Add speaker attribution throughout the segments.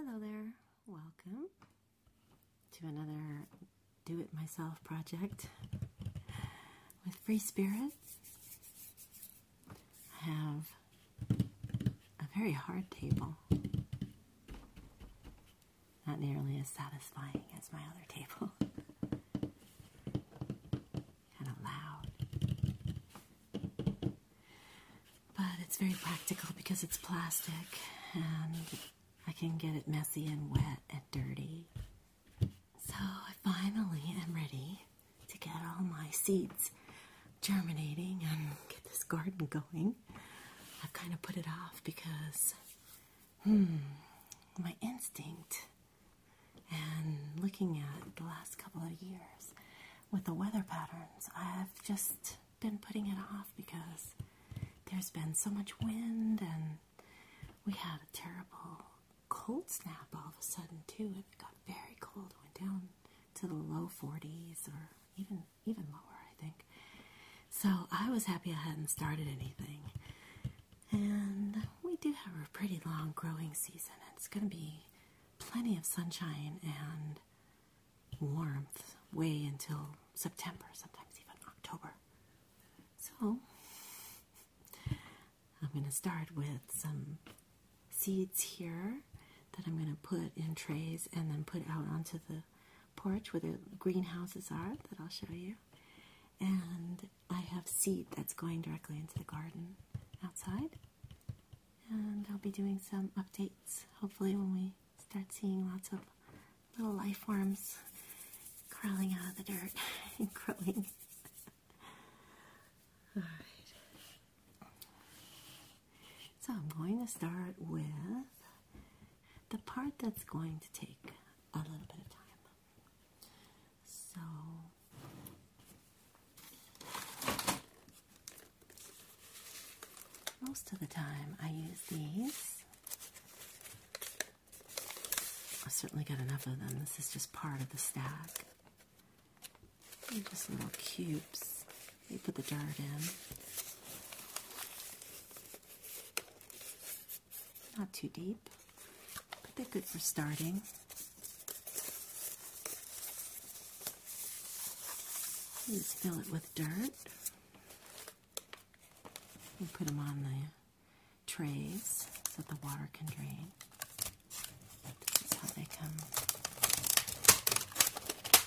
Speaker 1: Hello there, welcome to another do it myself project with free spirits. have a very hard table. Not nearly as satisfying as my other table. kind of loud. But it's very practical because it's plastic and I can get it messy and wet and dirty. So I finally am ready to get all my seeds germinating and get this garden going. I've kind of put it off because hmm, my instinct and looking at the last couple of years with the weather patterns, I've just been putting it off because there's been so much wind and we had a terrible cold snap all of a sudden too. It got very cold, it went down to the low 40s or even even lower, I think. So I was happy I hadn't started anything. And we do have a pretty long growing season. It's going to be plenty of sunshine and warmth way until September, sometimes even October. So I'm going to start with some seeds here that I'm going to put in trays and then put out onto the porch where the greenhouses are that I'll show you. And I have seed that's going directly into the garden outside. And I'll be doing some updates hopefully when we start seeing lots of little life forms crawling out of the dirt and crawling. Alright. So I'm going to start with the part that's going to take a little bit of time. So most of the time I use these. i certainly got enough of them. This is just part of the stack just little cubes. You put the dirt in. Not too deep, but they're good for starting. just fill it with dirt. You put them on the trays so the water can drain. This is how they come.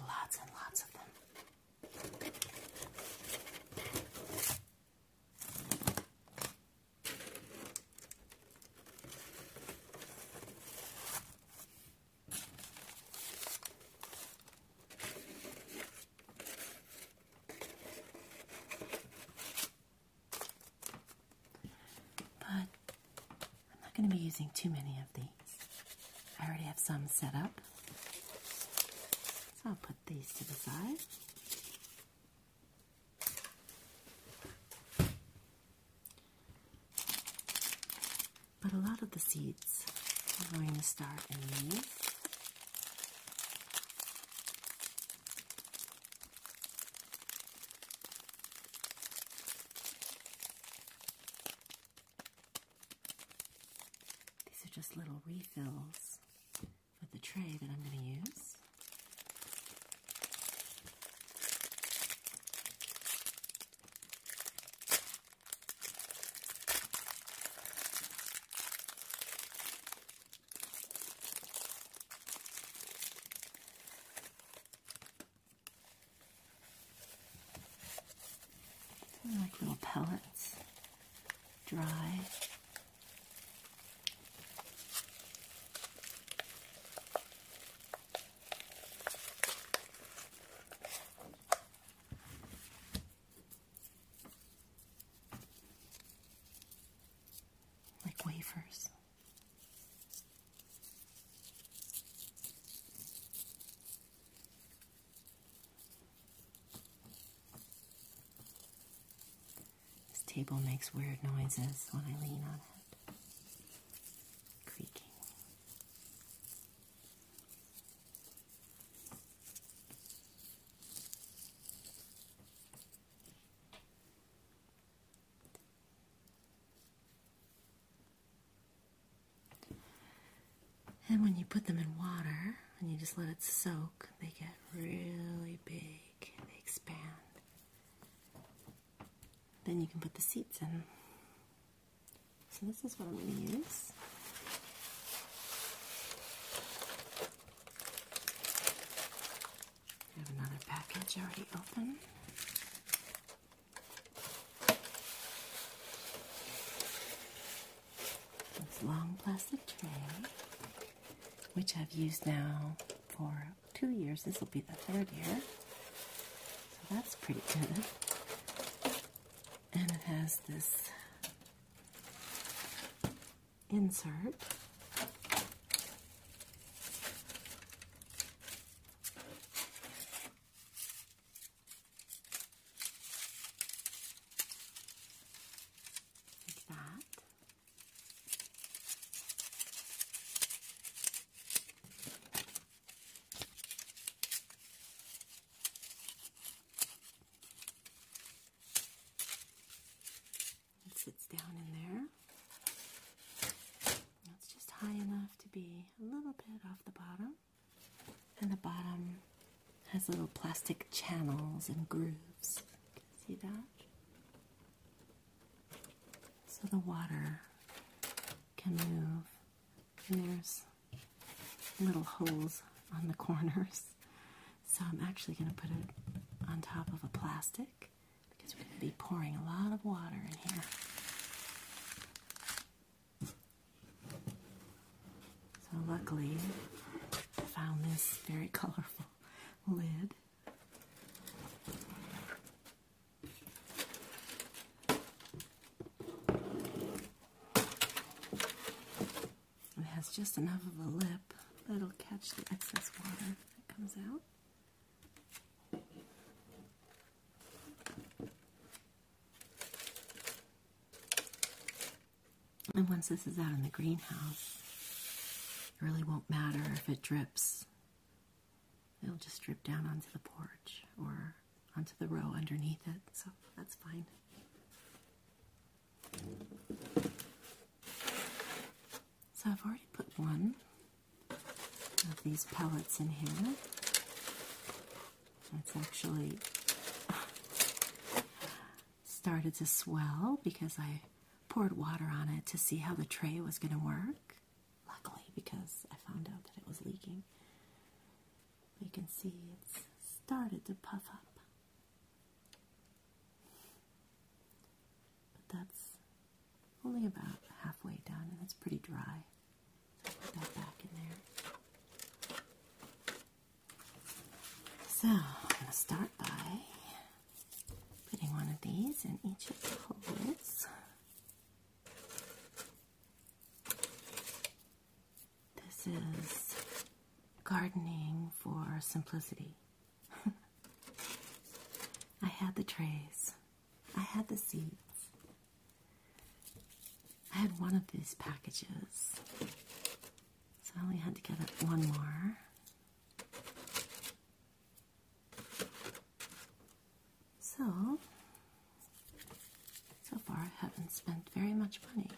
Speaker 1: Lots and lots of them. But I'm not going to be using too many of these. I already have some set up. So I'll put these to the side. But a lot of the seeds are going to start in these. These are just little refills for the tray that I'm going to use like little pellets, dry. Like wafers. This table makes weird noises when I lean on it. Creaking. And when you put them in water and you just let it soak, they get really big, they expand. Then you can put the seeds in. So, this is what I'm going to use. I have another package already open. This long plastic tray, which I've used now for two years, this will be the third year. So that's pretty good. And it has this insert. Like that. It sits down in there. It's just high enough to be a little bit off the bottom and the bottom has little plastic channels and grooves. See that? So the water can move, and there's little holes on the corners. So I'm actually going to put it on top of a plastic because we're going to be pouring a lot of water in here. So luckily, I found this very colorful lid. It has just enough of a lip that'll catch the excess water that comes out. And once this is out in the greenhouse, it really won't matter if it drips. It'll just drip down onto the porch or onto the row underneath it, so that's fine. So I've already put one of these pellets in here. It's actually started to swell because I poured water on it to see how the tray was going to work. Luckily, because I found out that it was leaking. You can see it's started to puff up. But that's only about halfway done, and it's pretty dry. So I'm going to start by putting one of these in each of the holes. This is gardening for simplicity. I had the trays. I had the seeds. I had one of these packages, so I only had to get up one more. So, so far I haven't spent very much money.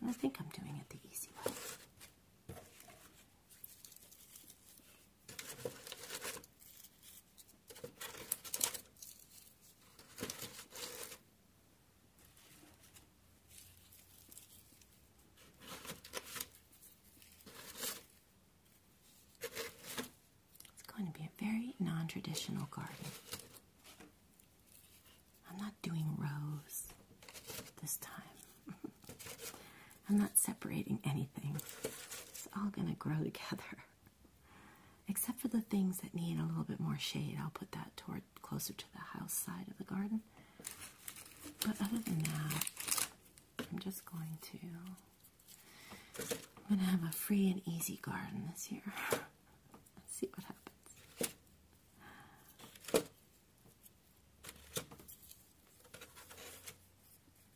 Speaker 1: And I think I'm doing it the easy way. It's going to be a very non traditional garden. I'm not doing rows this time, I'm not separating anything. It's all going to grow together. Except for the things that need a little bit more shade, I'll put that toward closer to the house side of the garden. But other than that, I'm just going to. I'm gonna have a free and easy garden this year. Let's see what happens.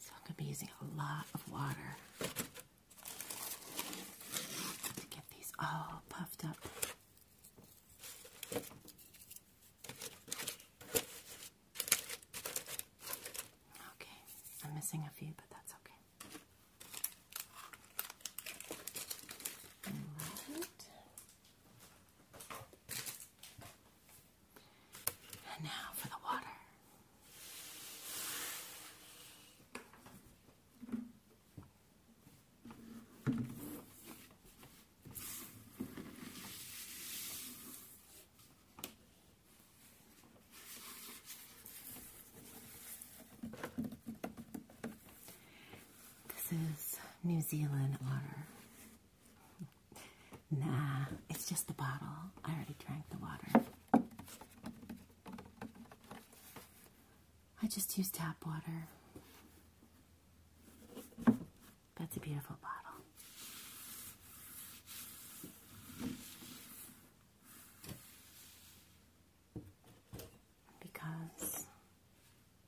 Speaker 1: So I'm going to be using a lot of water to get these all puffed up. Okay, I'm missing a few, but that's okay. And now for the water. This is New Zealand otter. Nah, it's just the bottle. I already drank the water. I just use tap water. That's a beautiful bottle. Because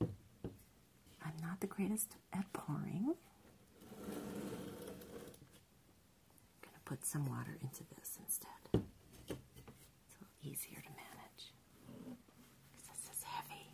Speaker 1: I'm not the greatest at pouring. I'm going to put some water into this instead. It's a little easier to manage this is heavy.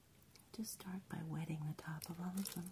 Speaker 1: Just start by wetting the top of all of them.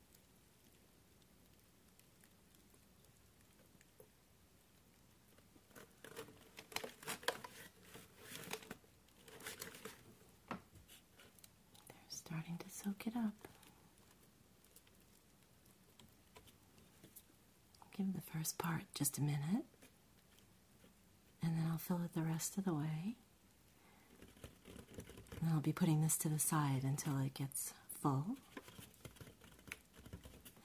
Speaker 1: They're starting to soak it up. Give the first part just a minute, and then I'll fill it the rest of the way. I'll be putting this to the side until it gets full,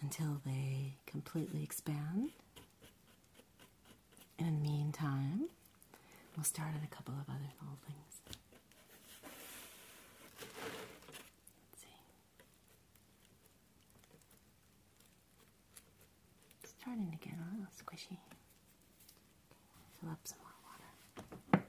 Speaker 1: until they completely expand. And in the meantime, we'll start on a couple of other little things. Let's see. starting to get a little squishy. Fill up some more water.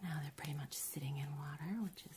Speaker 1: Now they're pretty much sitting in water, which is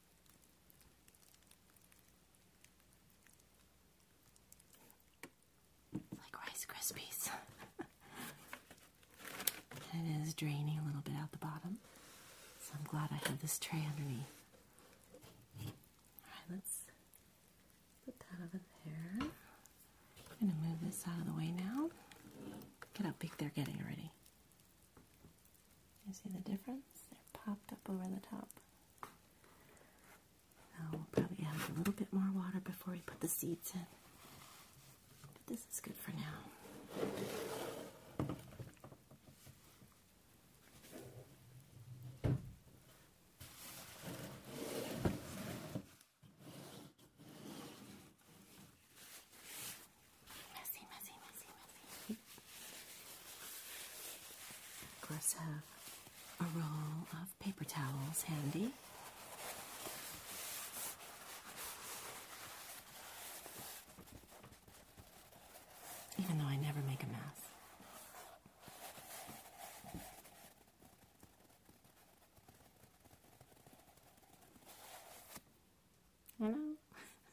Speaker 1: Like Rice Krispies. it is draining a little bit out the bottom. So I'm glad I have this tray underneath. Alright, let's put that over there. I'm going to move this out of the way now. Look at how big they're getting already. You see the difference? They're popped up over the top. Now we'll probably add a little bit more water before we put the seeds in. But this is good for now. Messy, messy, messy, messy. Of course, have uh, a roll of paper towels handy. Even though I never make a mess. I know.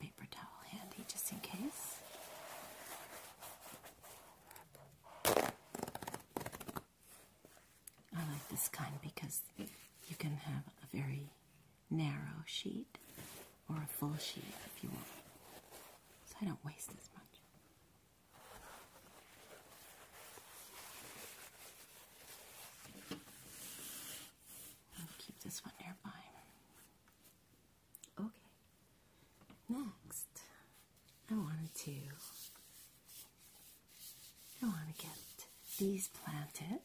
Speaker 1: paper towel handy just in case. I like this kind because you can have a very narrow sheet or a full sheet if you want, so I don't waste as much. keep this one nearby. Okay, next I wanted to I want to get these planted.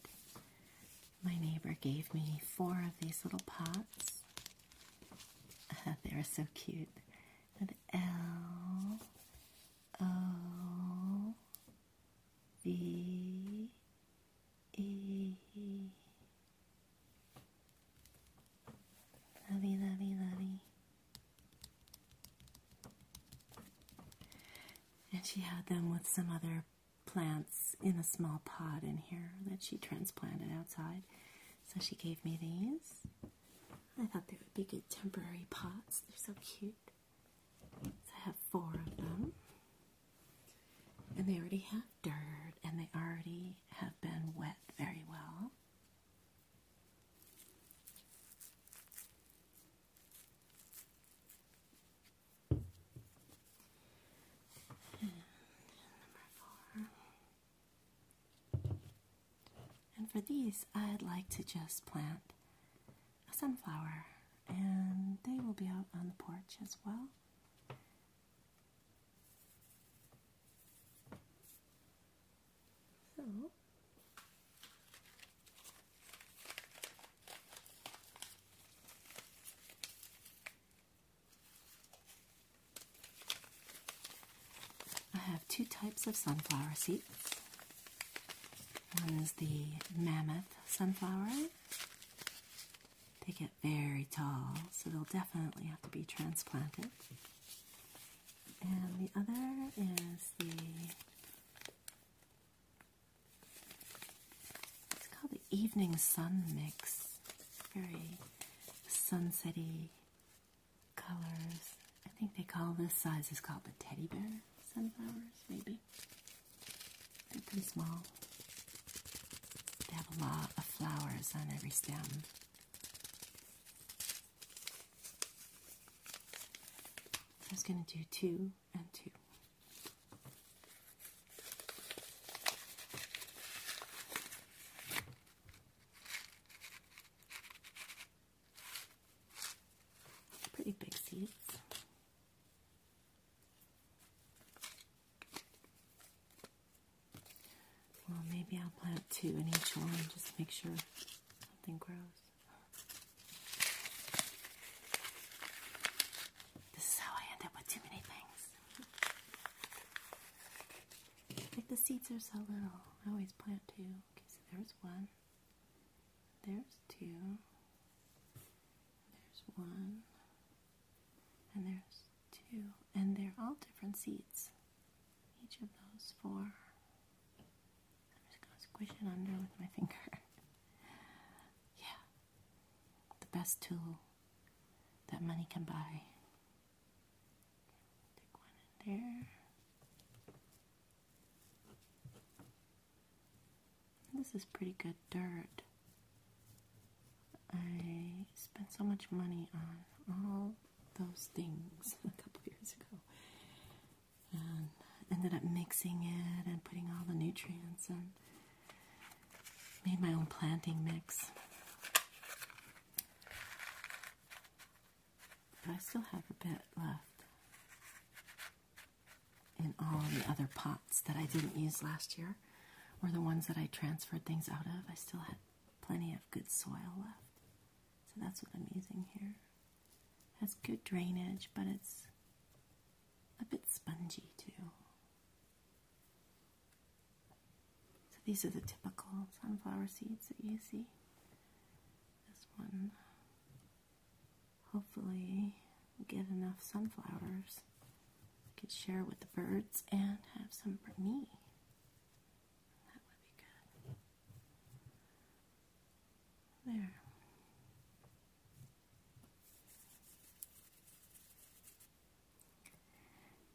Speaker 1: My neighbor gave me four of these little pots. they're so cute. L O V E Lovey, lovey, lovey. And she had them with some other plants in a small pot in here that she transplanted outside. So she gave me these. I thought they would be good temporary pots. They're so cute. So I have four of them. And they already have dirt and they already have been wet very well. And for these, I'd like to just plant a sunflower, and they will be out on the porch as well. So I have two types of sunflower seeds. One is the mammoth sunflower. They get very tall, so they'll definitely have to be transplanted. And the other is the it's called the Evening Sun Mix. Very sunsetty colors. I think they call this size is called the teddy bear sunflowers, maybe. They're pretty small. They have a lot of flowers on every stem. I was going to do two and two. Pretty big seeds. Well, maybe I'll plant two in each one just to make sure something grows. This is how I end up with too many things. Like the seeds are so little. I always plant two. Okay, so there's one. There's two. There's one. And there's two, and they're all different seeds. Each of those four. I'm just going to squish it under with my finger. yeah. The best tool that money can buy. Take one in there. This is pretty good dirt. I spent so much money on all those things a couple years ago and ended up mixing it and putting all the nutrients and made my own planting mix. But I still have a bit left in all the other pots that I didn't use last year or the ones that I transferred things out of. I still had plenty of good soil left. So that's what I'm using here. Has good drainage, but it's a bit spongy too. So these are the typical sunflower seeds that you see. This one hopefully get enough sunflowers. I could share with the birds and have some for me. There.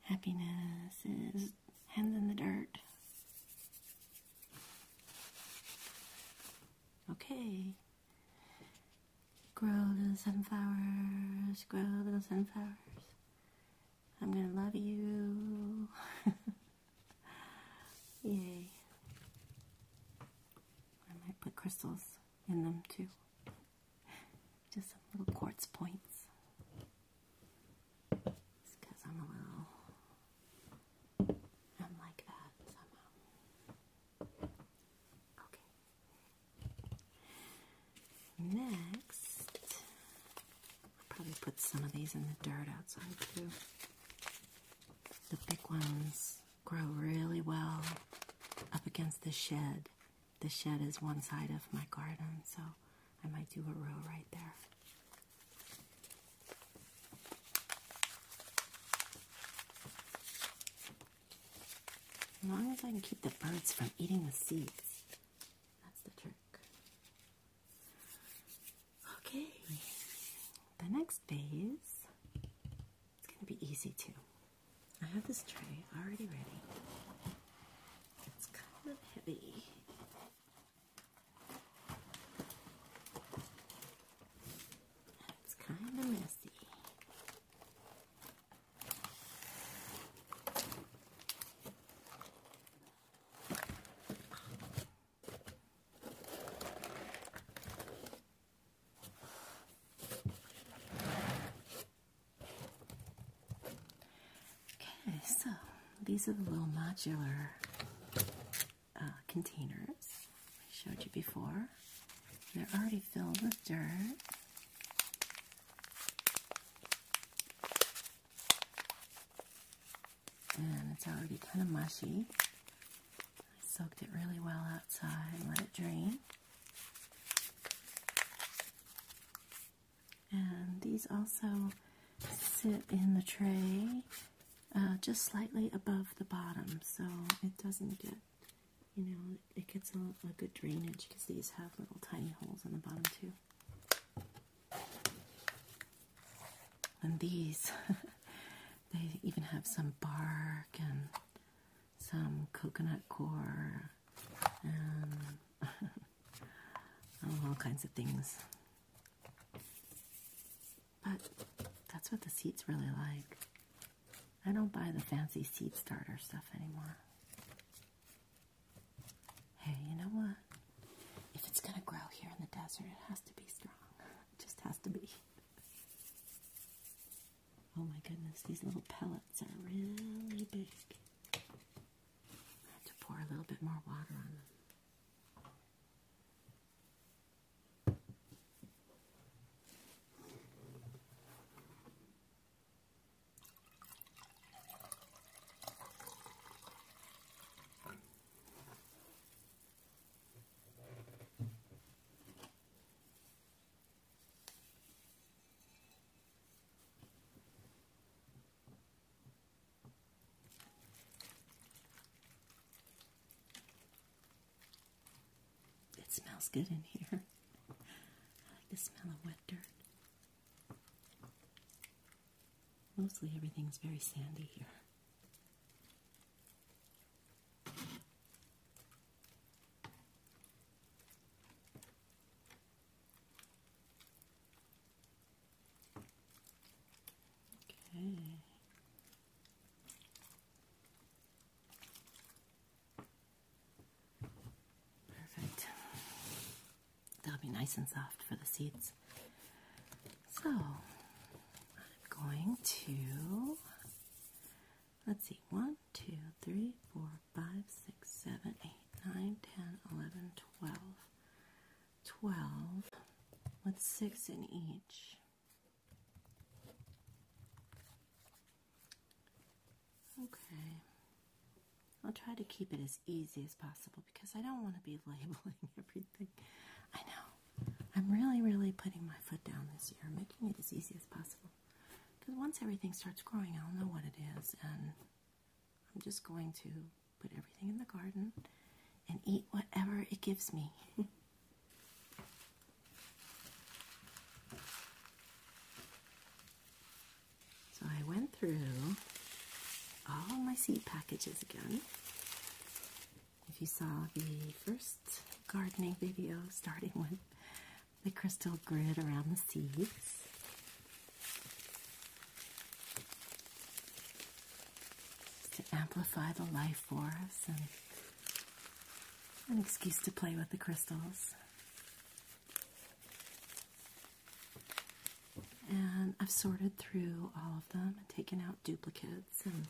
Speaker 1: Happiness is hands in the dirt. Okay. Grow little sunflowers, grow little sunflowers. I'm going to love you. Yay. I might put crystals in them too. Just some little quartz points. It's I'm a little. I'm like that somehow. Okay. Next, probably put some of these in the dirt outside too. The big ones grow really well up against the shed. The shed is one side of my garden, so I might do a row right there. As long as I can keep the birds from eating the seeds. That's the trick. Okay, the next phase, is going to be easy too. I have this tray already ready. It's kind of heavy. It's kind of messy. Okay, so these are the little modular uh, containers I showed you before. They're already filled with dirt. And it's already kind of mushy. I soaked it really well outside let it drain. And these also sit in the tray uh, just slightly above the bottom so it doesn't get, you know, it gets a, good drainage because these have little tiny holes in the bottom too. And these, they even have some bark and some coconut core and all kinds of things. But that's what the seeds really like. I don't buy the fancy seed starter stuff anymore. Hey, you know what? If it's gonna grow here in the desert, it has to be strong. It just has to be. Oh my goodness, these little pellets are really big. I have to pour a little bit more water on them. It smells good in here. I like the smell of wet dirt. Mostly everything's very sandy here. Okay. Perfect. They'll be nice and soft for the seeds. So I'm going to, let's see, one, two, three, four, five, six, seven, eight, nine, ten, eleven, twelve, twelve. 2, with 6 in each. Okay. I'll try to keep it as easy as possible because I don't want to be labeling everything. I know. I'm really, really putting my foot down this year, making it as easy as possible. Because once everything starts growing, I'll know what it is, and I'm just going to put everything in the garden and eat whatever it gives me. So I went through all my seed packages again. If you saw the first gardening video, starting with the crystal grid around the seeds. to amplify the life for us and an excuse to play with the crystals. And I've sorted through all of them and taken out duplicates and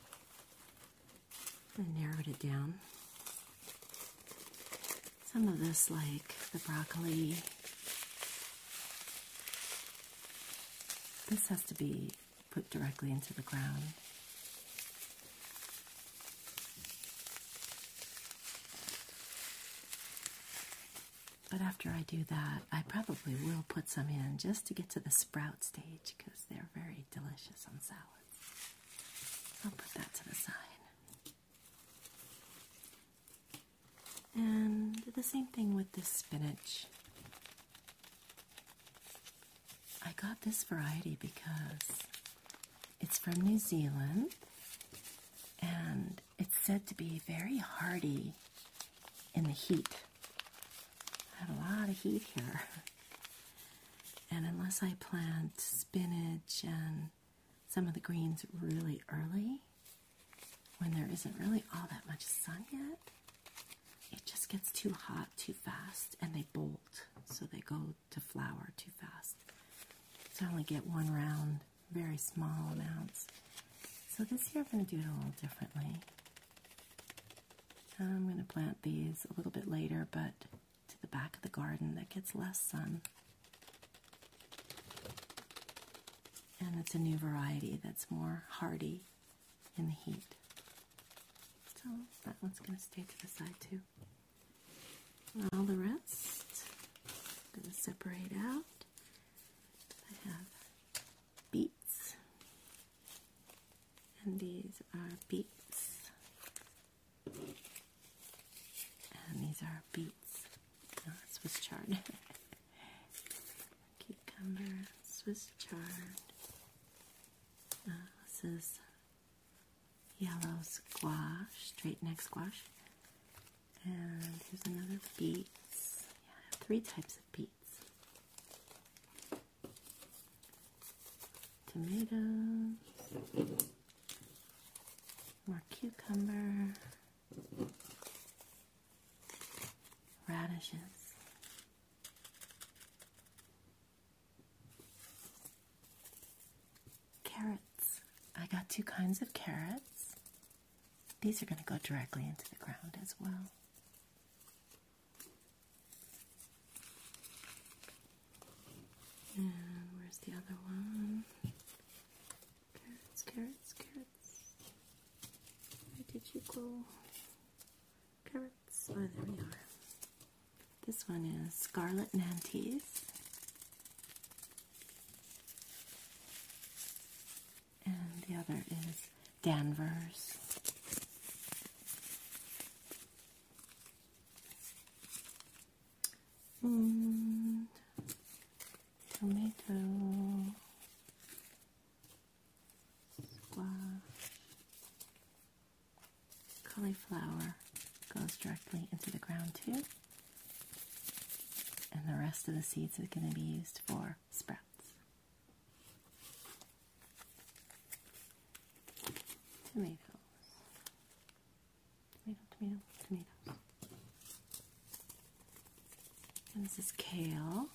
Speaker 1: narrowed it down. Some of this, like the broccoli, this has to be put directly into the ground. But after I do that, I probably will put some in just to get to the sprout stage because they're very delicious on salads. I'll put that to the side. And the same thing with this spinach. I got this variety because it's from New Zealand and it's said to be very hardy in the heat. I have a lot of heat here. And unless I plant spinach and some of the greens really early, when there isn't really all that much sun yet, it just gets too hot too fast and they bolt, so they go to flower too fast. So I only get one round very small amounts. So this year I'm going to do it a little differently. I'm going to plant these a little bit later, but to the back of the garden that gets less sun. And it's a new variety that's more hardy in the heat. So that one's going to stay to the side too. And all the rest I'm going to separate out. I have beets, and these are beets, and these are beets. Swiss chard, cucumber, Swiss chard. Uh, this is yellow squash, straight neck squash. And here's another beets. Yeah, three types of beets. Tomatoes. More cucumber. Radishes. Carrots. I got two kinds of carrots. These are going to go directly into the ground as well. And where's the other one? Carrots, carrots, carrots. Where did you go? Carrots. Oh, there we are. This one is Scarlet Nantes and the other is Danvers. And tomato, squash, cauliflower goes directly into the ground too. And the rest of the seeds are going to be used for sprouts. Tomatoes. Tomato, tomato, tomatoes. And this is kale.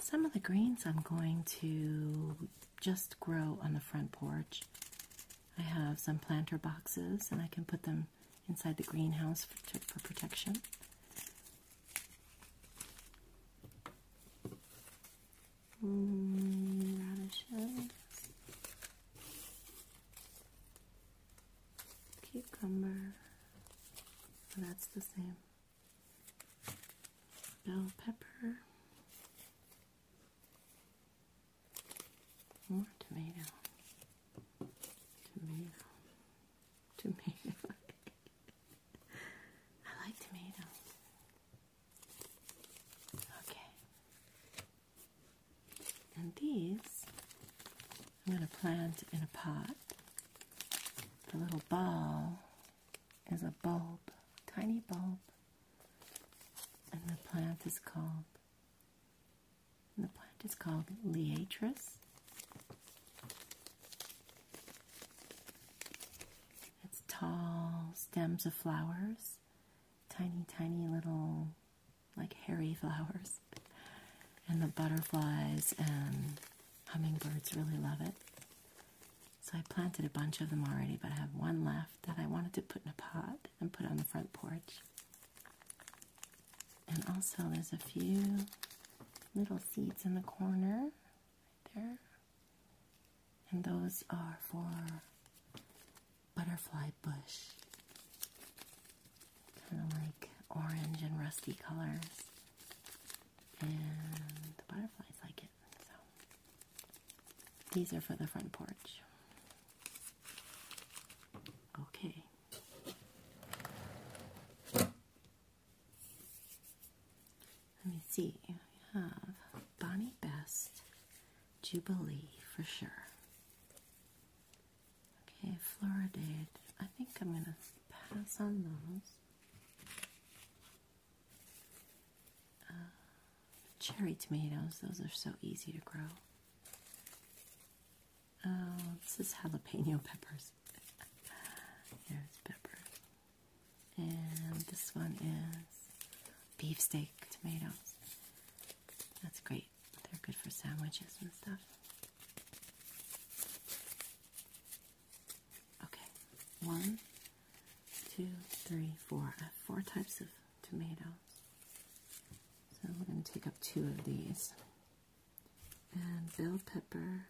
Speaker 1: Some of the greens I'm going to just grow on the front porch I have some planter boxes, and I can put them inside the greenhouse for, protection. Mm, cucumber. Oh, that's the same. Bell pepper. More tomato. Tomato. Tomato. I like tomato. Okay. And these I'm going to plant in a pot. The little ball is a bulb, tiny bulb. And the plant is called the plant is called liatris. It's tall stems of flowers, tiny, tiny little, like hairy flowers. And the butterflies and hummingbirds really love it. So I planted a bunch of them already, but I have one left that I wanted to put in a pot and put on the front porch. And also, there's a few little seeds in the corner there, and those are for butterfly bush kind of like orange and rusty colors, and the butterflies like it. So, these are for the front porch. Okay. Let me see. We have Bonnie Best, Jubilee for sure. Okay, Floridade. I think I'm going to pass on those. Uh, cherry tomatoes. Those are so easy to grow. Oh, this is jalapeno peppers. There's pepper. And this one is beefsteak tomatoes. That's great. They're good for sandwiches and stuff. Okay, one, two, three, four. four types of tomatoes. So we're going to take up two of these and bell pepper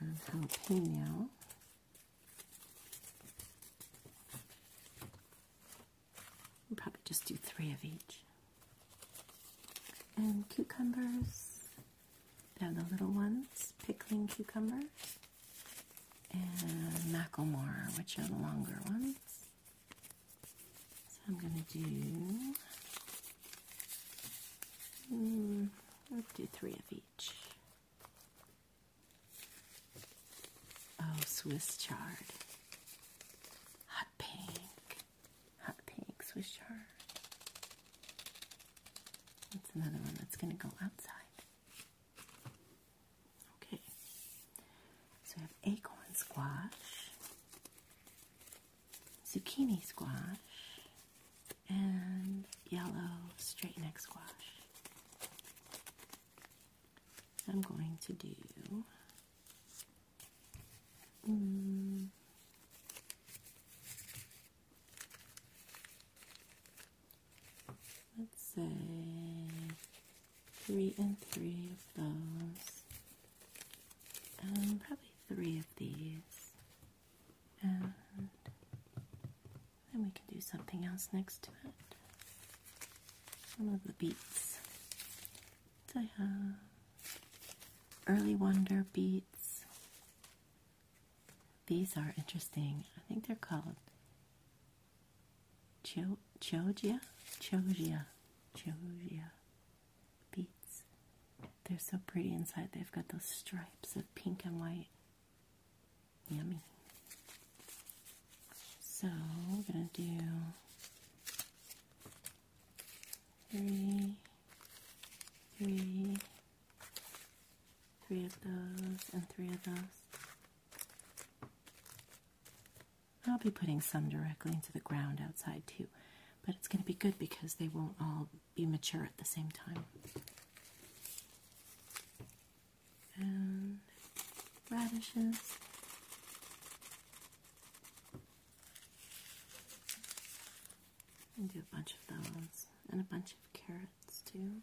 Speaker 1: and jalapeno. we probably just do three of each. And cucumbers. They have the little ones, pickling cucumbers. And maclemore, which are the longer ones. So I'm going to do, mm, i do three of each. Oh, Swiss chard. Hot pink. Hot pink Swiss chard. That's another one that's going to go outside. Okay. So we have acorn squash, zucchini squash, and yellow straight neck squash. I'm going to do mm, let's say three and three of those, and um, probably three of these. And then we can do something else next to it. One of the beets. I have early wonder beets. These are interesting. I think they're called Cho Chogia? Chogia. Chogia beads. They're so pretty inside. They've got those stripes of pink and white. Yummy. So we're going to do three, three, three of those, and three of those. I'll be putting some directly into the ground outside too, but it's going to be good because they won't all be mature at the same time. And radishes. And do a bunch of those, and a bunch of carrots too.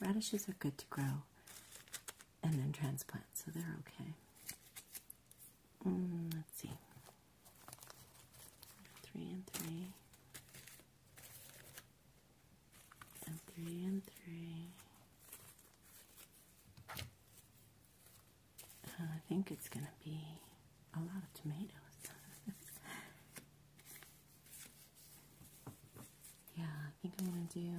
Speaker 1: Radishes are good to grow and then transplant, so they're okay. Mm, let's see. Three and three. And three and three. Uh, I think it's going to be a lot of tomatoes. yeah, I think I'm going to do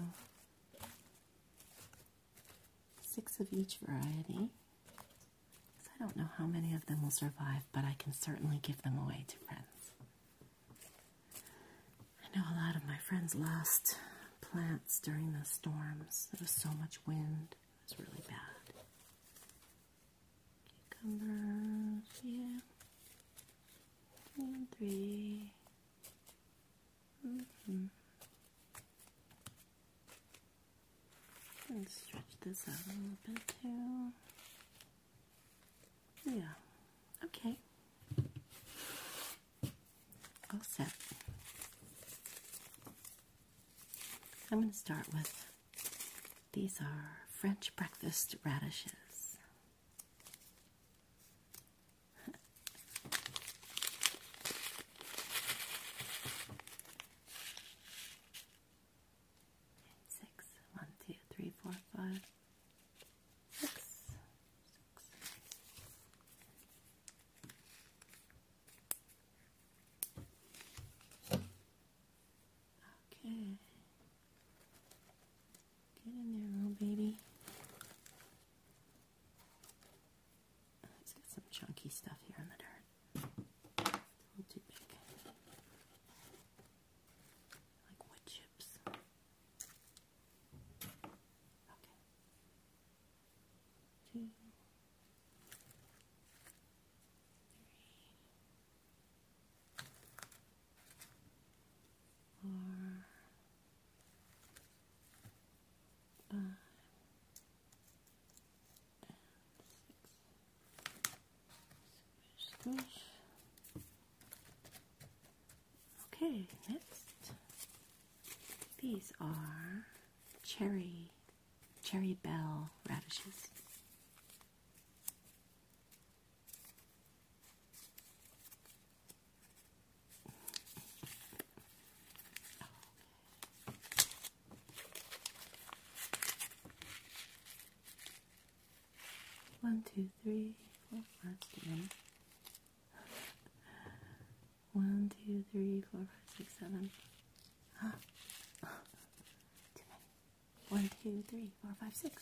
Speaker 1: Six of each variety. I don't know how many of them will survive, but I can certainly give them away to friends. I know a lot of my friends lost plants during the storms. There was so much wind. It was really bad. Cucumbers, yeah. and three. Mm -hmm. stretch this out a little bit too. Yeah. Okay. All set. I'm going to start with these are French breakfast radishes six, one, two, three, four, five, six, six. Okay. Get in there, little baby. It's got some chunky stuff here in the dirt. too big. Like wood chips. Okay. Two. Three. Okay, next. These are cherry, cherry bell radishes. One, two, three, four, five, six, seven. One, two, three, four, five, six, seven. Huh? Ah. Too many. One, two, three, four, five, six.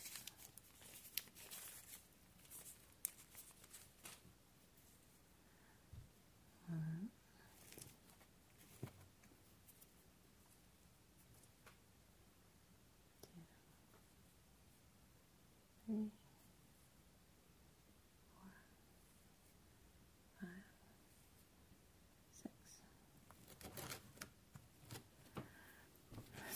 Speaker 1: All right. Two,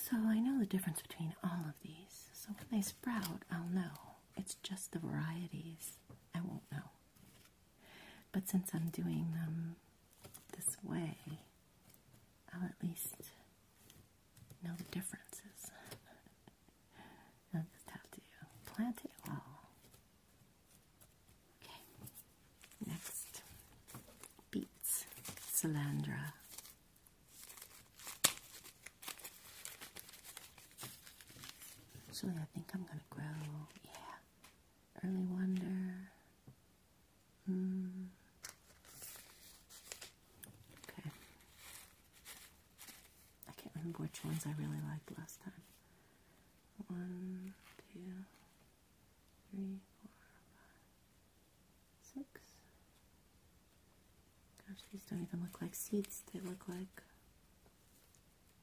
Speaker 1: So I know the difference between all of these, so when they sprout, I'll know. It's just the varieties. I won't know. But since I'm doing them this way, I'll at least know the differences. i just have to plant it all. Okay, next beets, salandra, Actually, I think I'm going to grow, yeah, early wonder. Hmm. Okay. I can't remember which ones I really liked last time. One, two, three, four, five, six, Gosh, these don't even look like seeds. They look like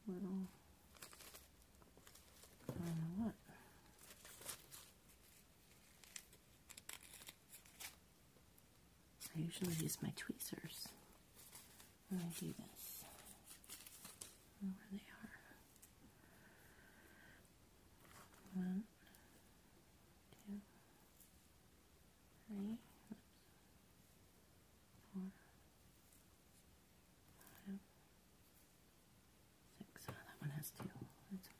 Speaker 1: little, I don't know what. I usually use my tweezers when I do this. I where they are. One, two, three, four, five, six. Oh, that one has two. That's okay.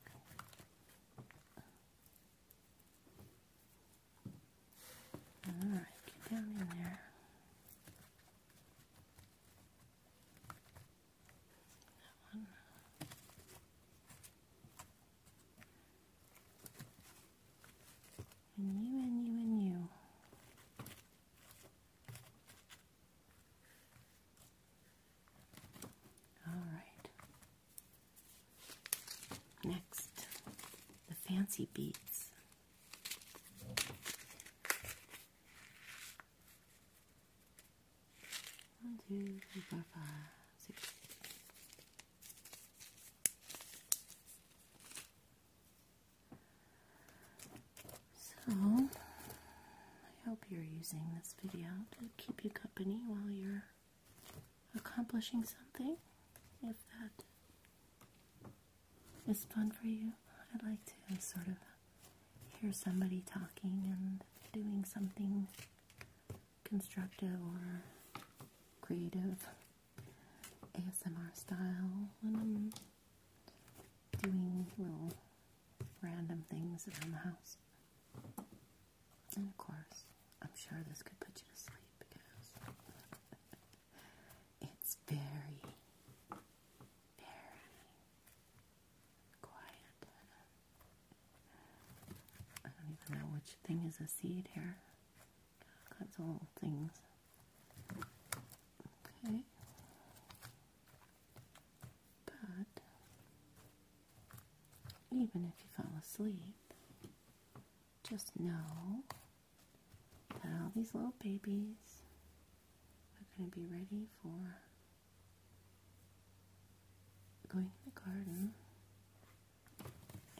Speaker 1: All right, get down in there. That one and you and you and you. All right. Next, the fancy beats. One, two, three, four, five, six, so, I hope you're using this video to keep you company while you're accomplishing something. If that is fun for you, I'd like to sort of hear somebody talking and doing something constructive or creative. ASMR style when I'm doing little random things around the house. And of course, I'm sure this could put you to sleep because it's very, very quiet. I don't even know which thing is a seed here. That's all things. Okay. But even if you fall asleep, just know that all these little babies are going to be ready for going in the garden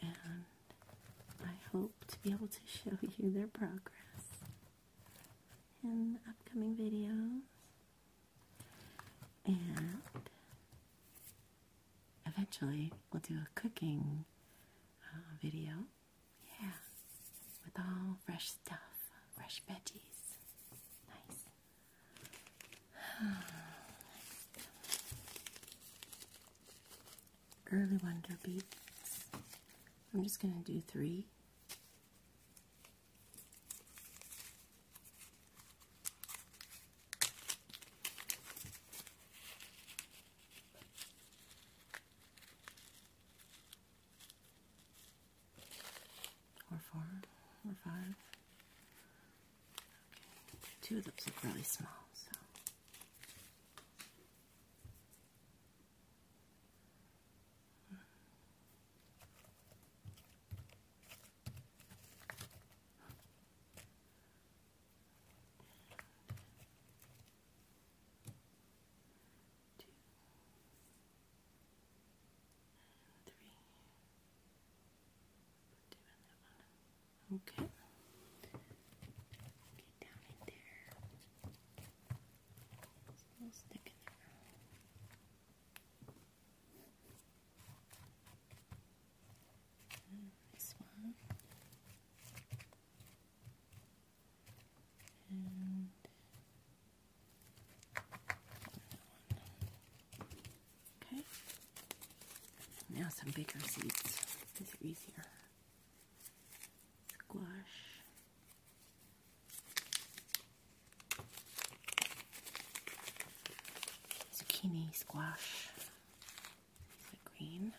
Speaker 1: and I hope to be able to show you their progress in upcoming videos. And eventually, we'll do a cooking uh, video. Yeah, with all fresh stuff, fresh veggies. Nice. early wonder beads. I'm just going to do three. Or four, or five. Two of those look really small, Two, three. Put two in that one. Okay. Get down in there. stick in there. Mm, this one. And Okay. Now some bigger seeds. These are easier squash zucchini squash green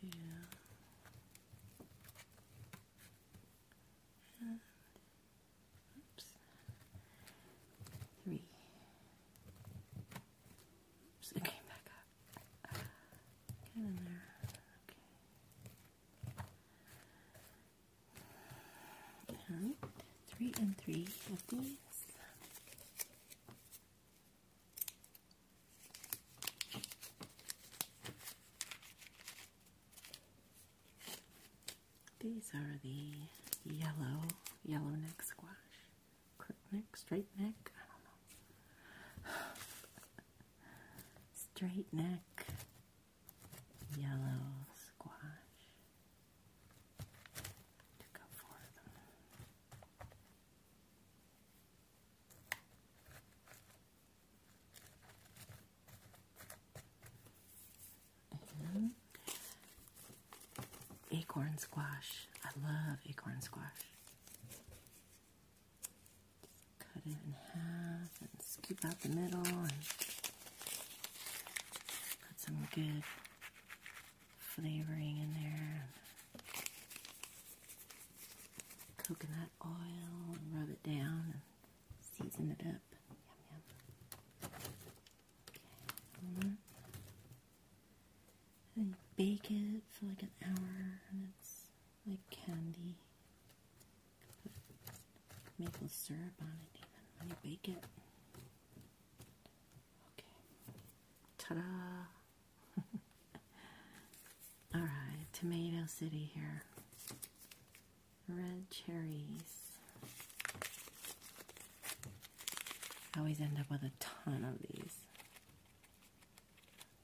Speaker 1: here and oops three oops it came back up get in there okay all right three and three of these. These are the yellow, yellow neck squash. Crook neck, straight neck, I don't know. straight neck, yellow squash. Mm-hmm. acorn squash. I love acorn squash. Cut it in half and scoop out the middle and put some good flavoring in there. Coconut oil, and rub it down, and season it up. Yum, yum. Okay, one um, and bake it for like an hour, and it's like candy. maple syrup on it even when you bake it. Okay. Ta-da! All right, Tomato City here. Red cherries. I always end up with a ton of these.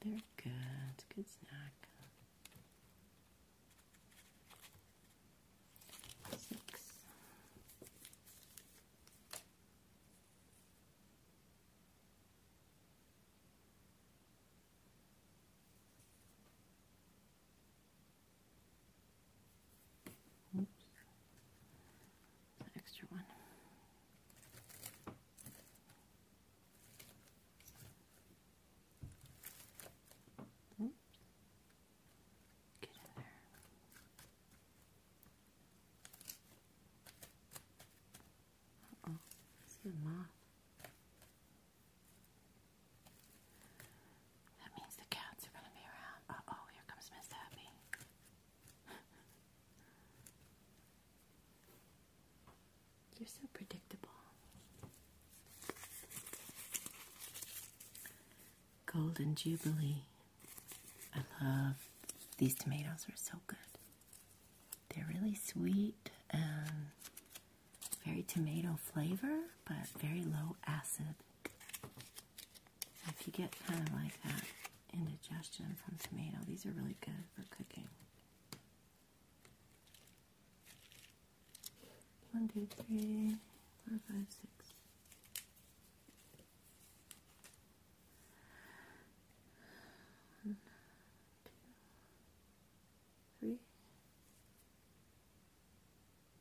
Speaker 1: They're good. Good snack. Six. Oops. Extra one. Oops. Get in there oh, this is a That means the cats are gonna be around. oh, here comes Miss Happy. You're so predictable. Golden Jubilee. I love these tomatoes, are so good. They're really sweet and very tomato flavor, but very low acid. If you get kind of like that indigestion from tomato, these are really good for cooking. One, two, three, four, five, six. One, two, three,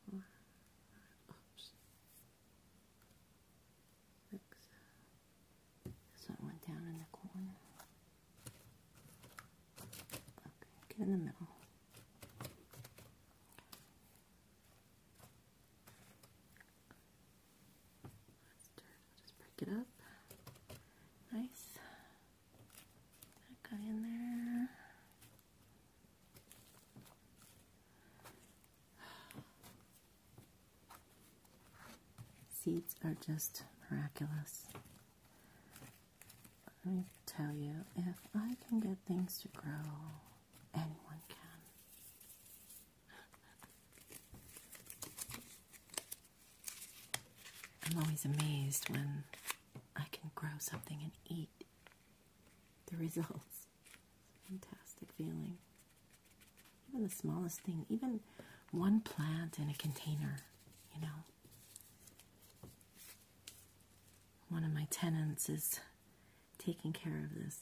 Speaker 1: four, five, This one went down in the corner. Okay, get in the middle just break it up. Nice. That in there. Seeds are just miraculous. Let me tell you, if I can get things to grow, anyone can. I'm always amazed when I can grow something and eat the results. Fantastic feeling. Even the smallest thing, even one plant in a container, you know. One of my tenants is taking care of this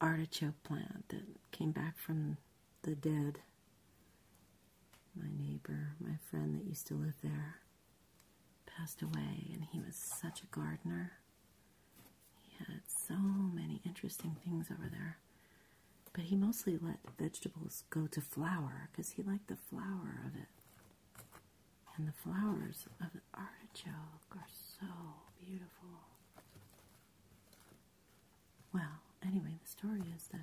Speaker 1: artichoke plant that came back from the dead. My neighbor, my friend that used to live there, passed away, and he was such a gardener. He had so many interesting things over there. But he mostly let vegetables go to flower because he liked the flower of it. And the flowers of the artichoke are so beautiful. Well, anyway, the story is that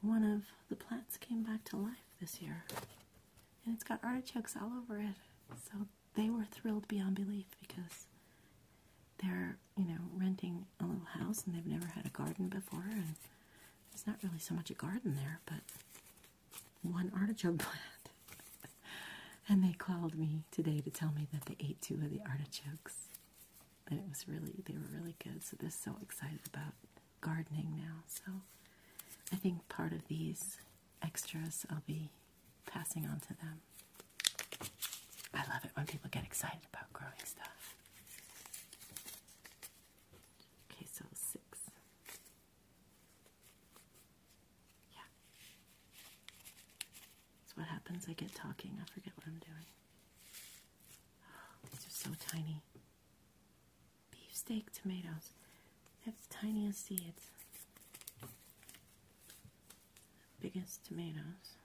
Speaker 1: one of the plants came back to life this year, and it's got artichokes all over it. So they were thrilled beyond belief because they're, you know, renting a little house and they've never had a garden before, and it's not really so much a garden there, but one artichoke plant. and they called me today to tell me that they ate two of the artichokes. And it was really, they were really good. So they're so excited about gardening now. So I think part of these extras I'll be passing on to them. I love it when people get excited about growing stuff. Okay, so six. Yeah. That's what happens. I get talking. I forget what I'm doing. these are so tiny. Beefsteak tomatoes. They the tiniest seeds. biggest tomatoes.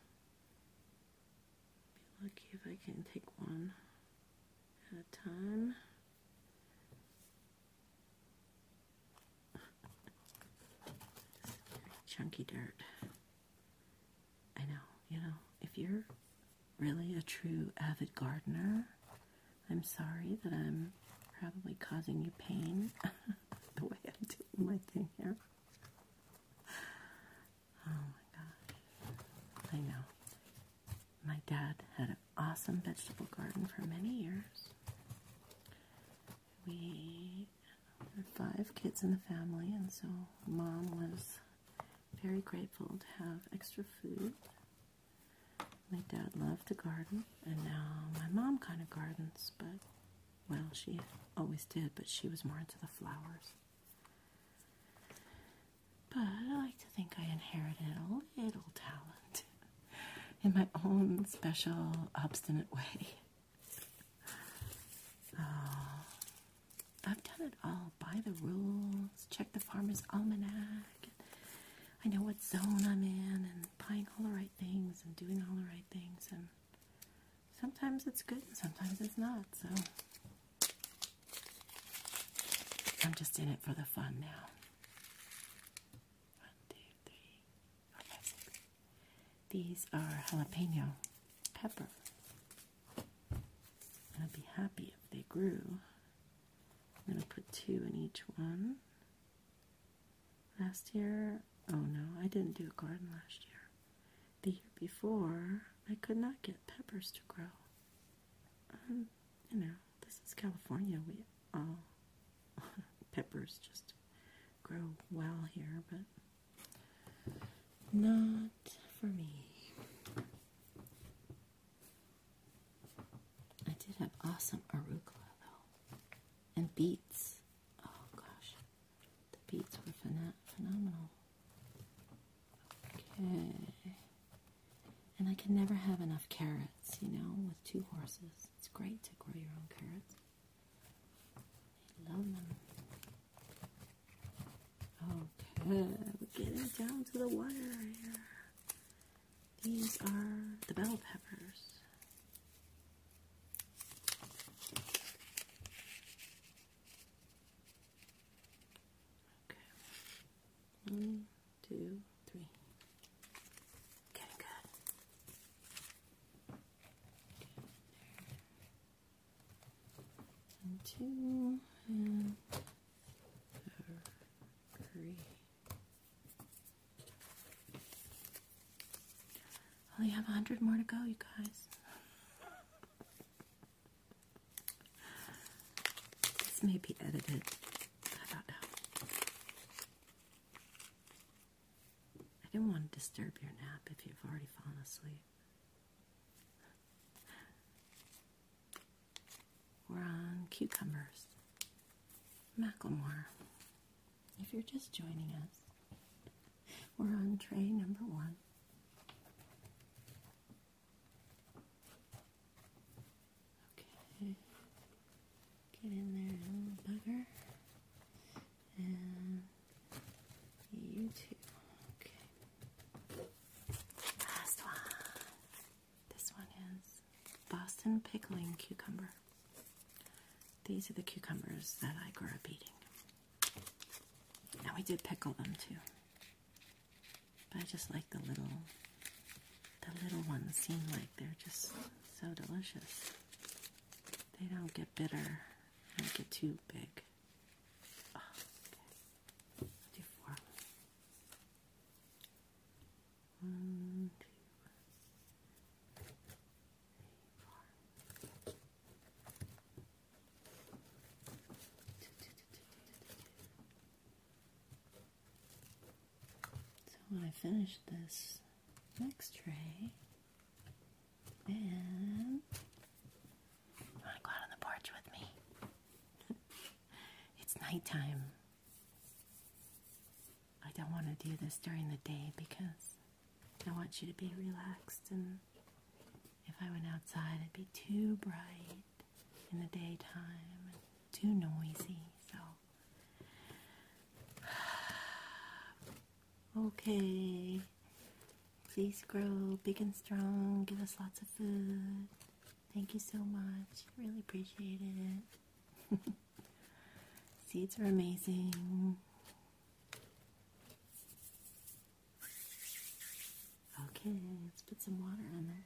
Speaker 1: Be lucky if I can take one at a time. Chunky dirt. I know, you know, if you're really a true avid gardener, I'm sorry that I'm probably causing you pain the way I'm doing my thing here. Oh my gosh. I know. My dad had an awesome vegetable garden for many years we were five kids in the family, and so mom was very grateful to have extra food. My dad loved to garden, and now my mom kind of gardens, but well, she always did, but she was more into the flowers. But I like to think I inherited a little talent in my own special, obstinate way. Uh, I've done it all by the rules, check the farmer's almanac. I know what zone I'm in, and buying all the right things, and doing all the right things, and sometimes it's good, and sometimes it's not, so I'm just in it for the fun now. One, two, three, four, five, six. These are jalapeno pepper. I'd be happy if they grew. I'm going to put two in each one. Last year, oh no, I didn't do a garden last year. The year before, I could not get peppers to grow. Um, you know, this is California. We uh, peppers just grow well here, but not for me. I did have awesome arugula though, and beets. Oh gosh, the beets were phenomenal. Okay, and I can never have enough carrots. You know, with two horses, it's great to grow your own carrots. Okay, we're getting down to the wire here. These are the bell peppers. Okay. One, two, three. Getting two and three. Well, have a hundred more to go, you guys. This may be edited. I don't know. I didn't want to disturb your nap if you've already fallen asleep. We're on cucumbers. Macklemore. If you're just joining us, we're on tray number one. Okay. Get in there, little bugger. And you too. Okay. Last one. This one is Boston pickling cucumber. These are the cucumbers that I grew up eating. Now we did pickle them too. But I just like the little the little ones seem like they're just so delicious. They don't get bitter. They don't get too big. Oh, so when I finish this, next tray. And you want to go out on the porch with me? it's nighttime. I don't want to do this during the day because I want you to be relaxed. And if I went outside, it'd be too bright in the daytime too noisy. So Okay. Please grow big and strong. Give us lots of food. Thank you so much. Really appreciate it. Seeds are amazing. Okay, let's put some water on there.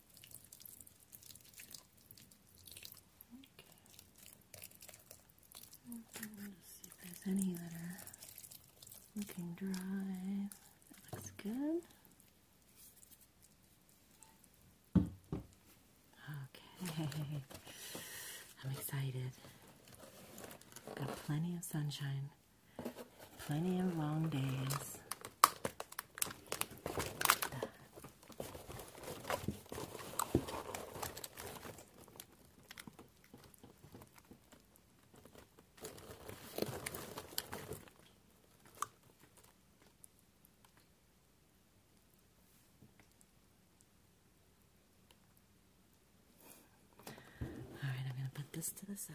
Speaker 1: Okay. Let's see if there's any that looking dry. looks good. Okay. I'm excited. Got plenty of sunshine, plenty of long days. All right, I'm going to put this to the side.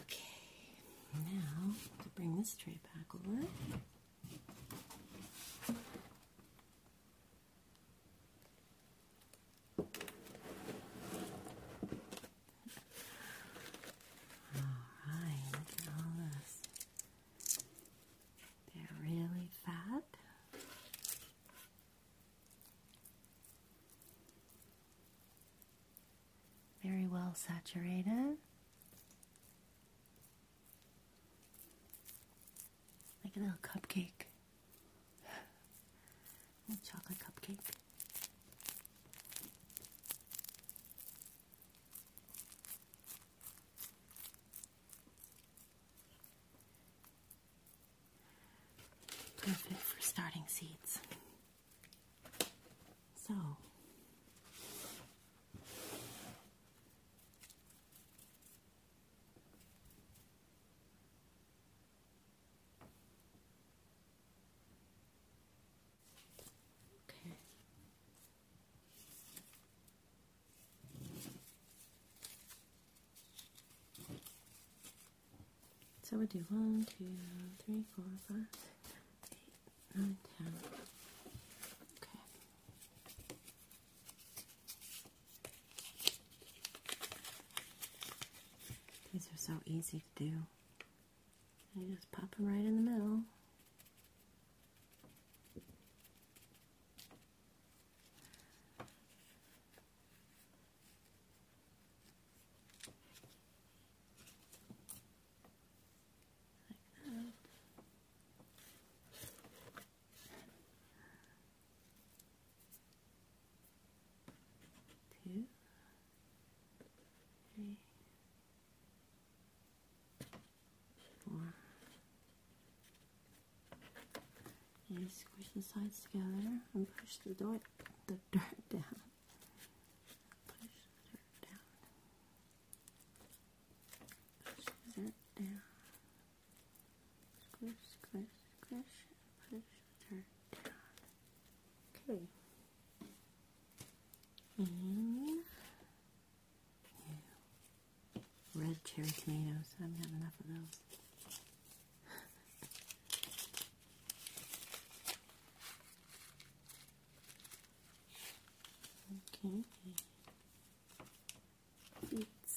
Speaker 1: Okay, now to bring this tray back over. Alright, look at all this. They're really fat. Very well saturated. Like a little cupcake chocolate cupcake. Perfect for starting seeds. So, Okay. So we do one, two, three, four, five, six, seven, eight, nine, ten. Okay. These are so easy to do. You just pop them right in the middle two, three, four. you squish the sides together and push the dirt, the dirt down. Push the dirt down. Push the dirt down. Squish, squish, squish, push. Okay. red cherry tomatoes. I am having enough of those. okay. Beets.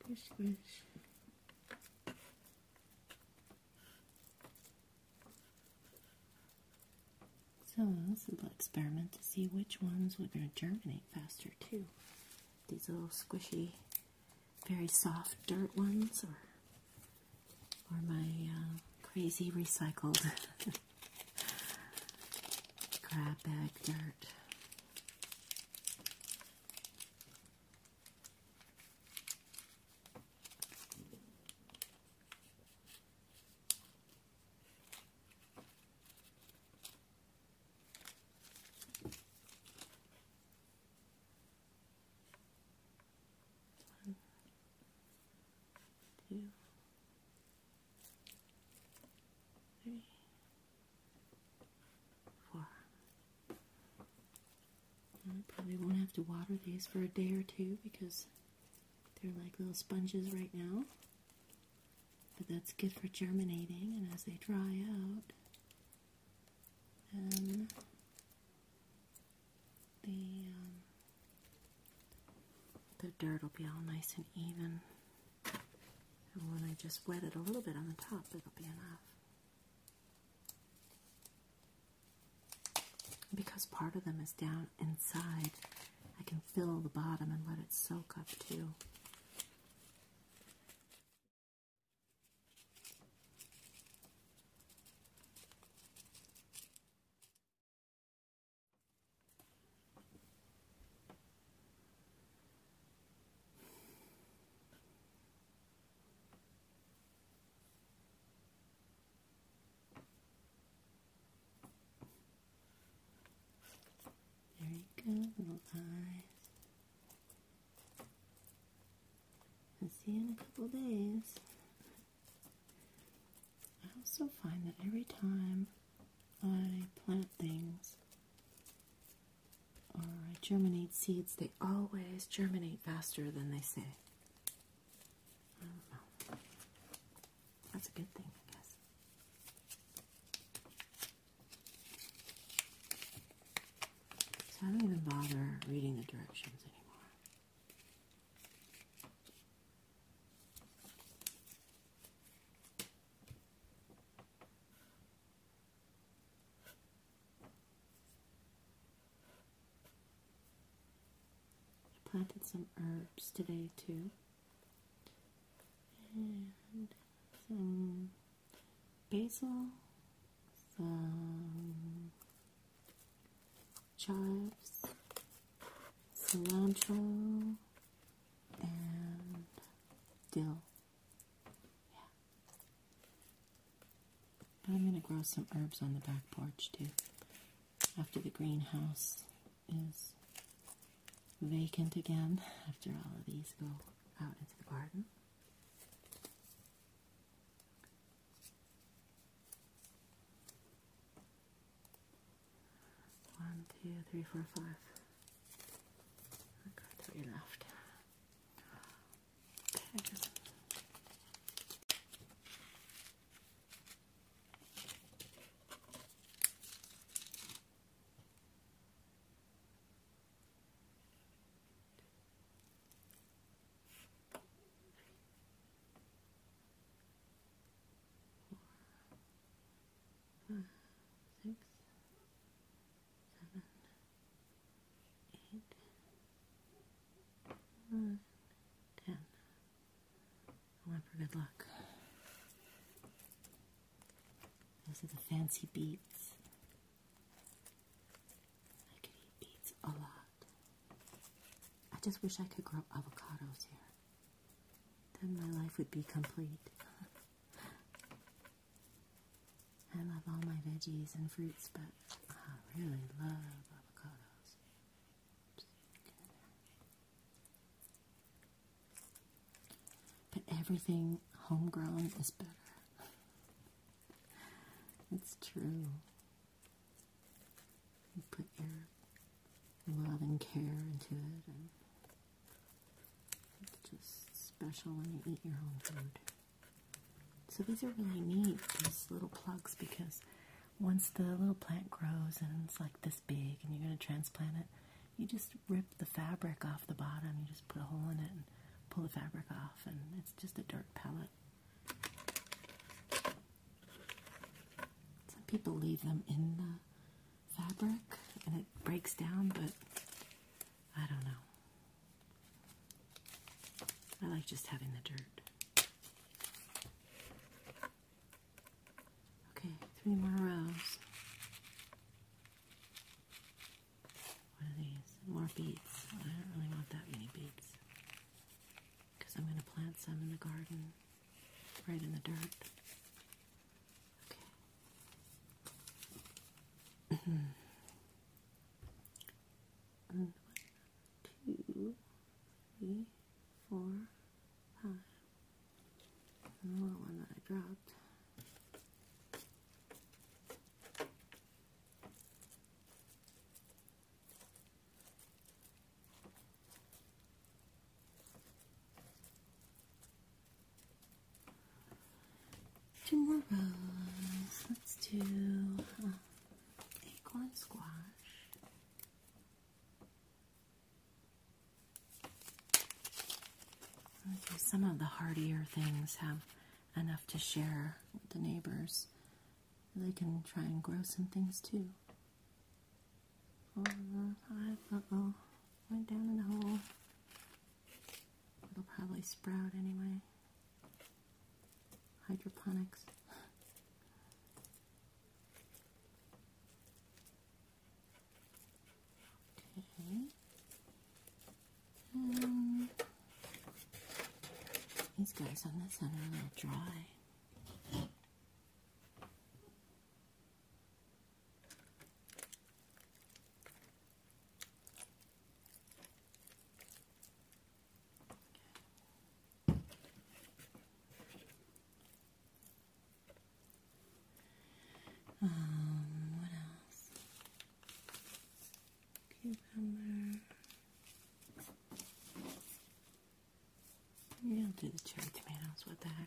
Speaker 1: Squish, squish. So a little experiment to see which ones would germinate faster too. These little squishy, very soft dirt ones, or my uh, crazy recycled Crab bag dirt. One, two, three, four. I probably won't have to water these for a day or two because they're like little sponges right now. But that's good for germinating, and as they dry out, the um, the dirt will be all nice and even. And when I just wet it a little bit on the top, it'll be enough. Because part of them is down inside, I can fill the bottom and let it soak up too. There you go, little eyes. I'll see you in a couple days. I also find that every time I plant things or I germinate seeds, they always germinate faster than they say. That's a good thing, I guess. So I don't even bother reading the directions anymore. I planted some herbs today too, and some basil, some chives, cilantro, and dill. Yeah. I'm going to grow some herbs on the back porch too after the greenhouse is vacant again after all of these go out into the garden. One, two, three, four, five. I three left five, six, seven, eight, nine, ten. I oh, want for good luck. Those are the fancy beads. I could eat beads a lot. I just wish I could grow avocados here then my life would be complete. I love all my veggies and fruits, but I really love avocados. But everything homegrown is better. It's true. You put your love and care into it, it's just special when you eat your own food. So these are really neat, these little plugs, because once the little plant grows and it's like this big and you're going to transplant it, you just rip the fabric off the bottom, you just put a hole in it and pull the fabric off, and it's just a dirt pellet. Some people leave them in the fabric and it breaks down, but I don't know. I like just having the dirt. Okay, three more rows. What are these? More beets. I don't really want that many beets because I'm going to plant some in the garden right in the dirt. Okay. one, two, three, four, five. Another one that I dropped. Two more rows. Let's do uh, acorn squash. some of the hardier things have enough to share with the neighbors. They can try and grow some things too all the oh went down in the hole. It'll probably sprout anyway. Hydroponics. Okay. these guys on this end are a little dry. Okay. Um, what else? Cucumber. Yeah, I'll do the cherry tomatoes. What the heck?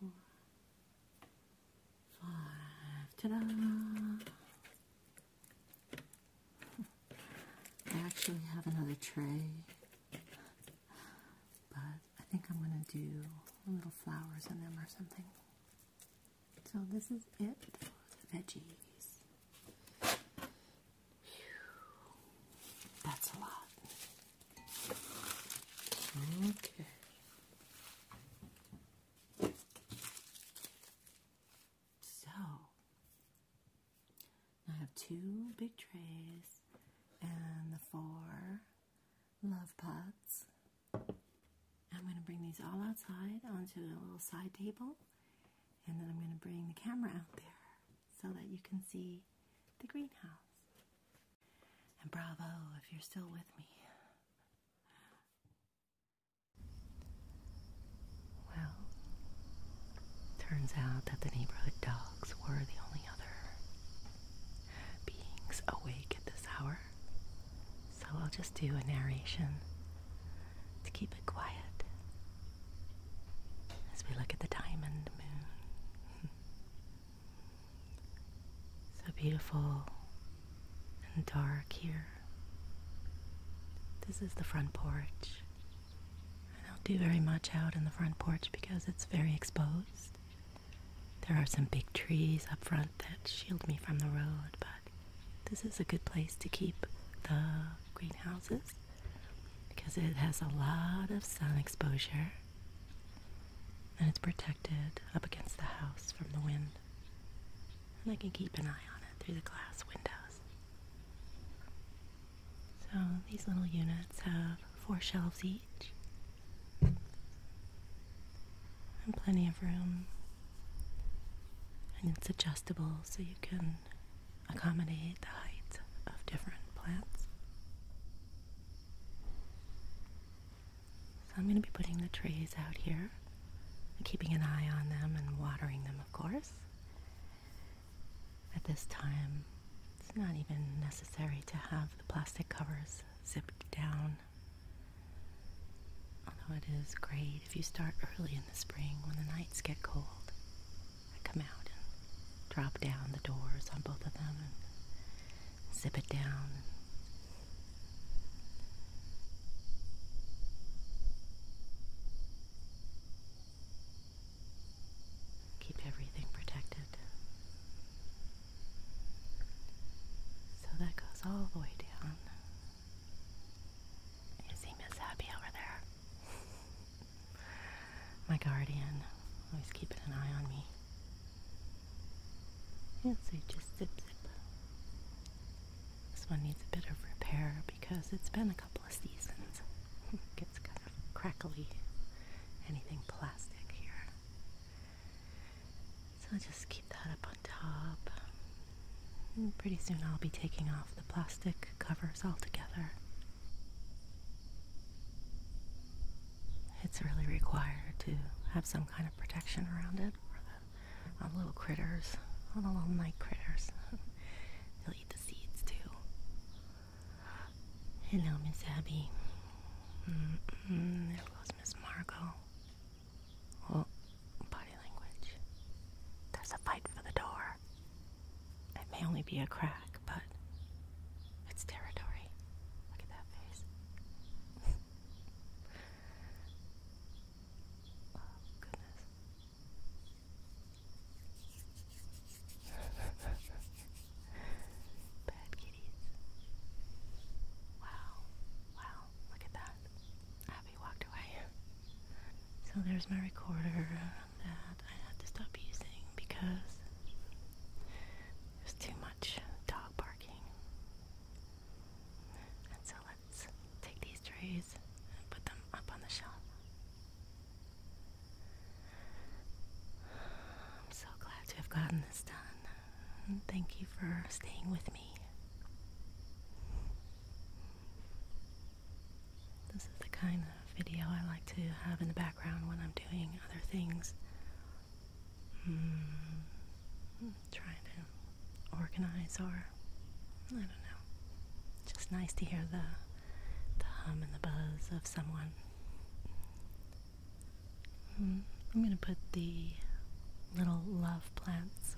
Speaker 1: four, five. Ta-da! I actually have another tray, but I think I'm going to do little flowers in them or something. So this is it for the veggies. That's a lot. Okay. So, I have two big trays and the four love pots. I'm going to bring these all outside onto a little side table, and then I'm going to bring the camera out there so that you can see the greenhouse. And bravo if you're still with me. Well, turns out that the neighborhood dogs were the only other beings awake at this hour. So I'll just do a narration to keep it quiet as we look at the diamond moon. So beautiful and dark here. This is the front porch. I don't do very much out in the front porch because it's very exposed. There are some big trees up front that shield me from the road, but this is a good place to keep the greenhouses because it has a lot of sun exposure and it's protected up against the house from the wind. And I can keep an eye on it through the glass windows. So these little units have four shelves each and plenty of room. And it's adjustable so you can accommodate the height of different plants. So I'm going to be putting the trays out here, keeping an eye on them and watering them, of course. At this time, it's not even necessary to have the plastic covers zipped down. Although it is great if you start early in the spring when the nights get cold. I come out and drop down the doors on both of them zip it down. Keep everything protected. So that goes all the way down. Is he Miss Happy over there? My guardian, always keeping an eye on me. Yeah, so you just zip zip. This one needs a bit of repair because it's been a couple of seasons. it gets kind of crackly. Anything plastic here. So just keep that up on top. pretty soon I'll be taking off the plastic covers altogether. It's really required to have some kind of protection around it, on little critters, on the little night critters. They'll eat the seeds too. Hello, Miss Abby. there goes Miss Margot. Oh, body language. There's a fight for the door. It may only be a crack, but it's territory. Look at that face. Oh, goodness. Bad kitties. Wow. Wow. Look at that. Abby walked away. So there's my recorder that um, uh, I had to stop using because there's too much dog barking. And so take these trays and put them up on the shelf. I'm so glad to have gotten this done. Thank you for staying with me. This is the kind of video I like to have in the background when I'm doing other things. Hmm. Trying to organize or I don't know. Just nice to hear the hum and the buzz of someone. Hmm. I'm gonna put the little love plants,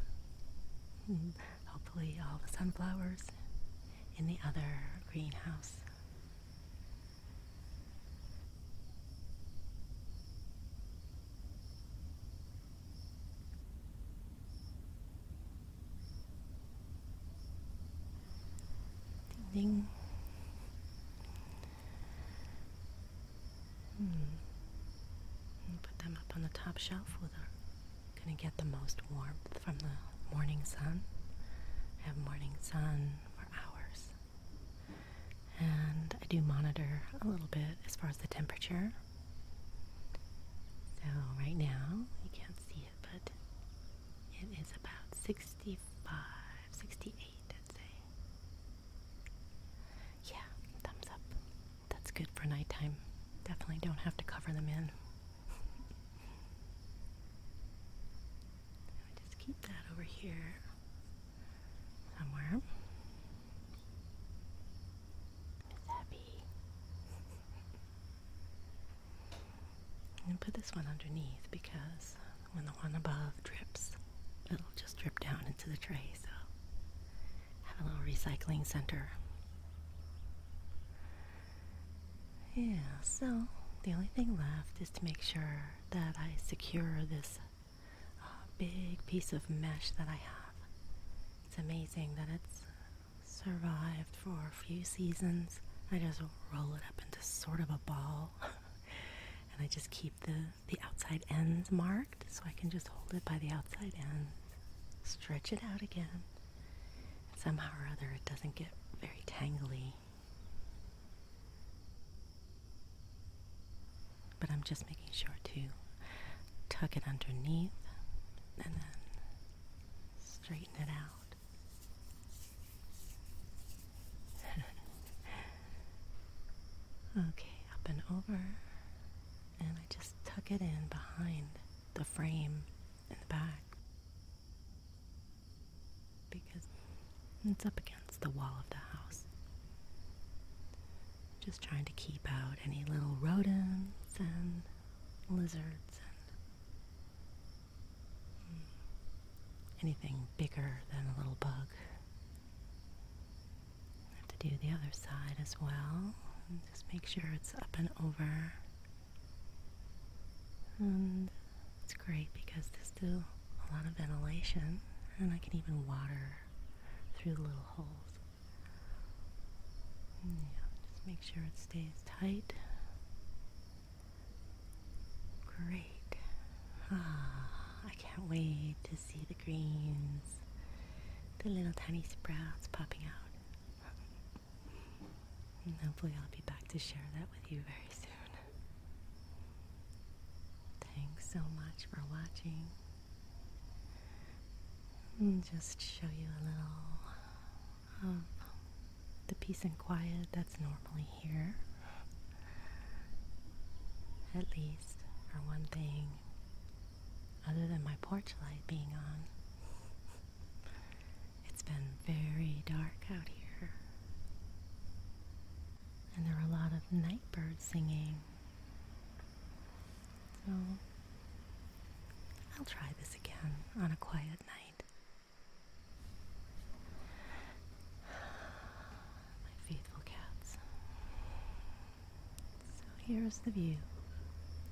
Speaker 1: hopefully all the sunflowers, in the other greenhouse. Hmm. Put them up on the top shelf where they going to get the most warmth from the morning sun. have morning sun for hours. And I do monitor a little bit as far as the temperature so, right now, you can't see it, but it is about 65, 68, I'd say. Yeah, thumbs up. That's good for nighttime. Definitely don't have to cover them in. just keep that over here somewhere. Miss Abby. And put this one underneath because when the one above drips, it'll just drip down into the tray. So have a little recycling center. Yeah, so the only thing left is to make sure that I secure this a big piece of mesh that I have. It's amazing that it's survived for a few seasons. I just roll it up into sort of a ball. and I just keep the, the outside ends marked so I can just hold it by the outside ends, stretch it out again. somehow or other it doesn't get very tangly but I'm just making sure to tuck it underneath and then straighten it out. okay, up and over. And I just tuck it in behind the frame in the back because it's up against the wall of the house. Just trying to keep out any little rodents and lizards and hmm, anything bigger than a little bug. I have to do the other side as well. just make sure it's up and over. And it's great because there's still a lot of ventilation and I can even water through the little holes. Yeah, just make sure it stays tight. Great. Ah, I can't wait to see the greens, the little tiny sprouts popping out. and hopefully, I'll be back to share that with you very soon. Thanks so much for watching just show you a little of the peace and quiet that's normally here. At least, for one thing, other than my porch light being on. It's been very dark out here. And there are a lot of night birds singing. So I'll try this again on a quiet night. My faithful cats. So here is the view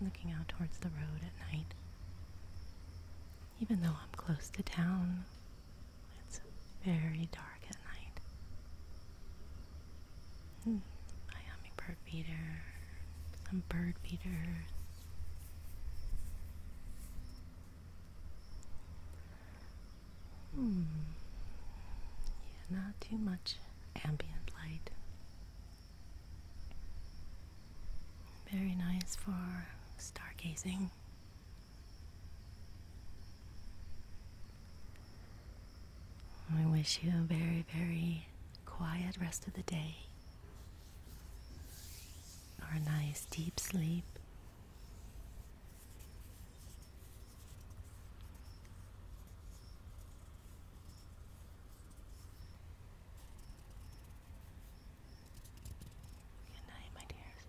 Speaker 1: looking out towards the road at night. Even though I'm close to town, it's very dark at night. Miami bird feeder, some bird feeders. Hmm. Yeah, not too much ambient light. Very nice for stargazing. I wish you a very, very quiet rest of the day, or a nice deep sleep. Good night, my dears.